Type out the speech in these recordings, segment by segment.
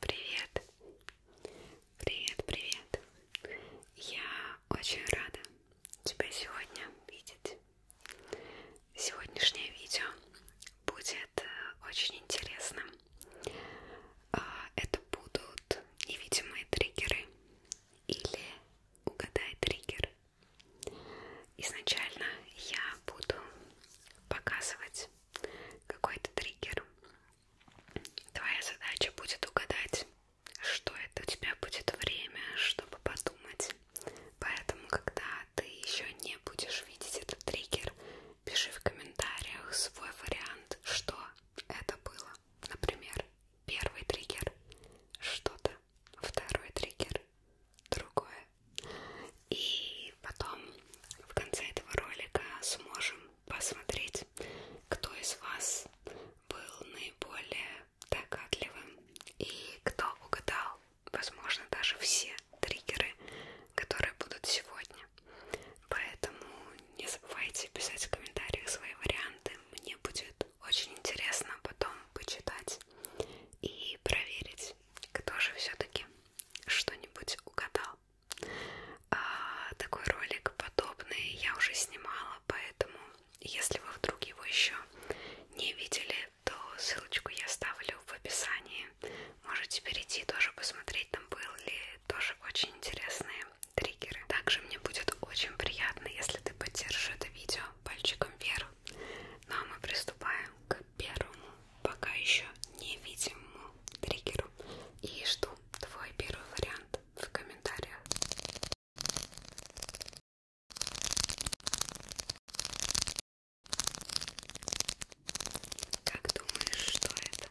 Привет, привет, привет. Я очень рада тебя сегодня видеть. Сегодняшнее видео будет э, очень интересным. А, это будут невидимые триггеры или угадай триггер. Изначально я буду показывать какой-то триггер. Твоя задача будет угадать, что это у тебя будет время, чтобы подумать. Поэтому, когда ты еще не будешь видеть этот триггер, пиши в комментариях свой вариант, что это было, например, первый триггер что-то, второй триггер другое. И потом в конце этого ролика сможем посмотреть, кто из вас был наиболее догадливым и кто угадал, возможно, даже все триггеры которые будут сегодня. Поэтому не забывайте писать в комментариях свои варианты. Мне будет очень интересно потом почитать и проверить, кто же все-таки что-нибудь угадал. А, такой ролик подобный я уже снимала, поэтому если вы вдруг его еще не видели, то ссылочку я ставлю в описании. Можете перейти тоже посмотреть, там был ли тоже очень интересные триггеры. Также мне будет очень приятно, если ты поддержишь это видео пальчиком вверх. Ну а мы приступаем к первому, пока еще невидимому триггеру. И жду твой первый вариант в комментариях. Как думаешь, что это?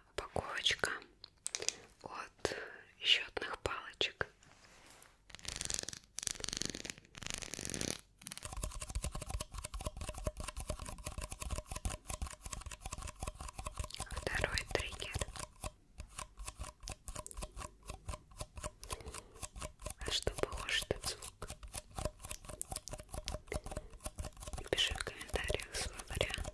упаковочка от счетных палочек. Второй триггер. А что похож этот звук? Пиши в комментариях свой вариант.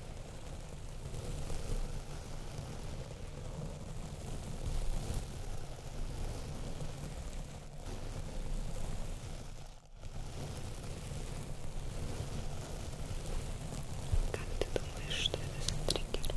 Как ты думаешь, что это за триггер?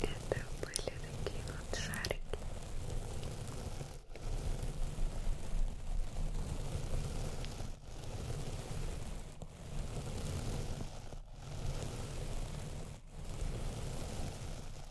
Это были такие вот шарики.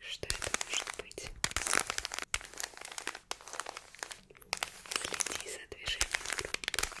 Что это может быть? Следи за движением группы.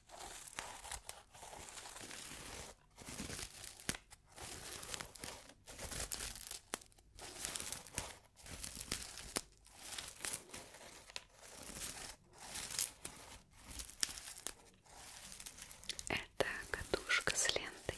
Это катушка с лентой.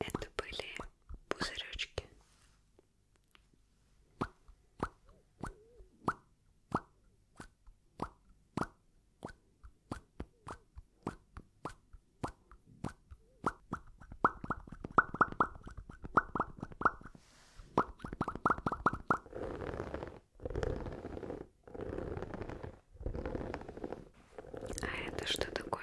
Это были пузыречки. А это что такое?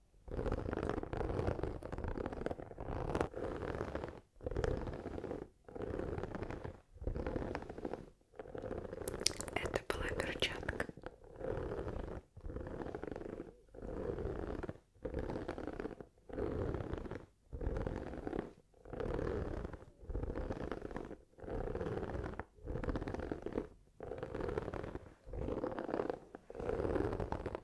Это была перчатка.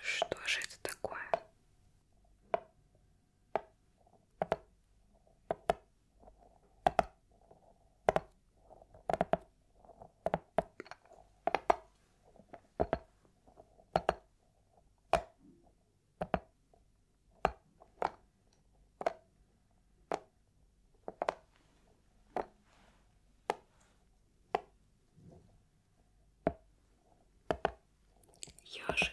Что же это такое? Ёжик.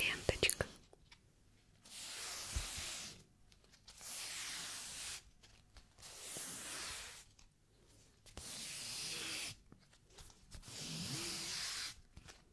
Ленточка.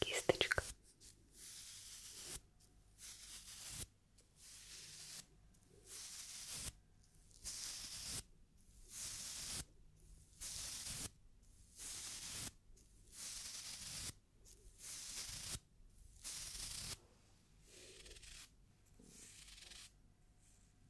кисточка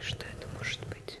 Что это может быть?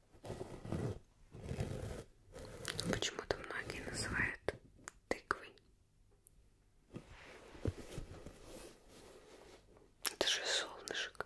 Почему-то многие называют тыквой. Это же солнышко.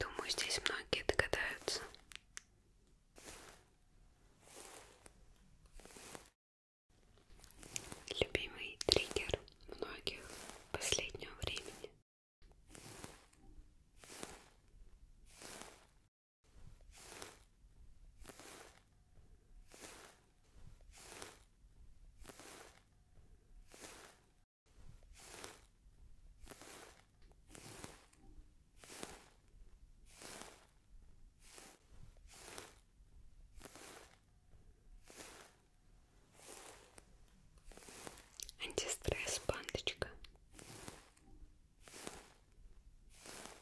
Думаю, здесь многие догадаются. Любимый триггер многих последнего времени. Антистресс, пандочка.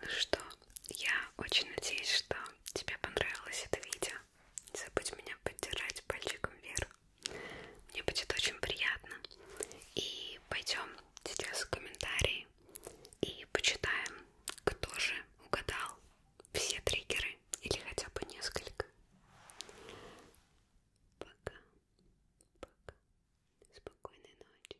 Ну что, я очень надеюсь, что тебе понравилось это видео. Не забудь меня поддержать пальчиком вверх. Мне будет очень приятно. И пойдем сейчас в комментарии и почитаем, кто же угадал все триггеры или хотя бы несколько. Пока. Пока. Спокойной ночи.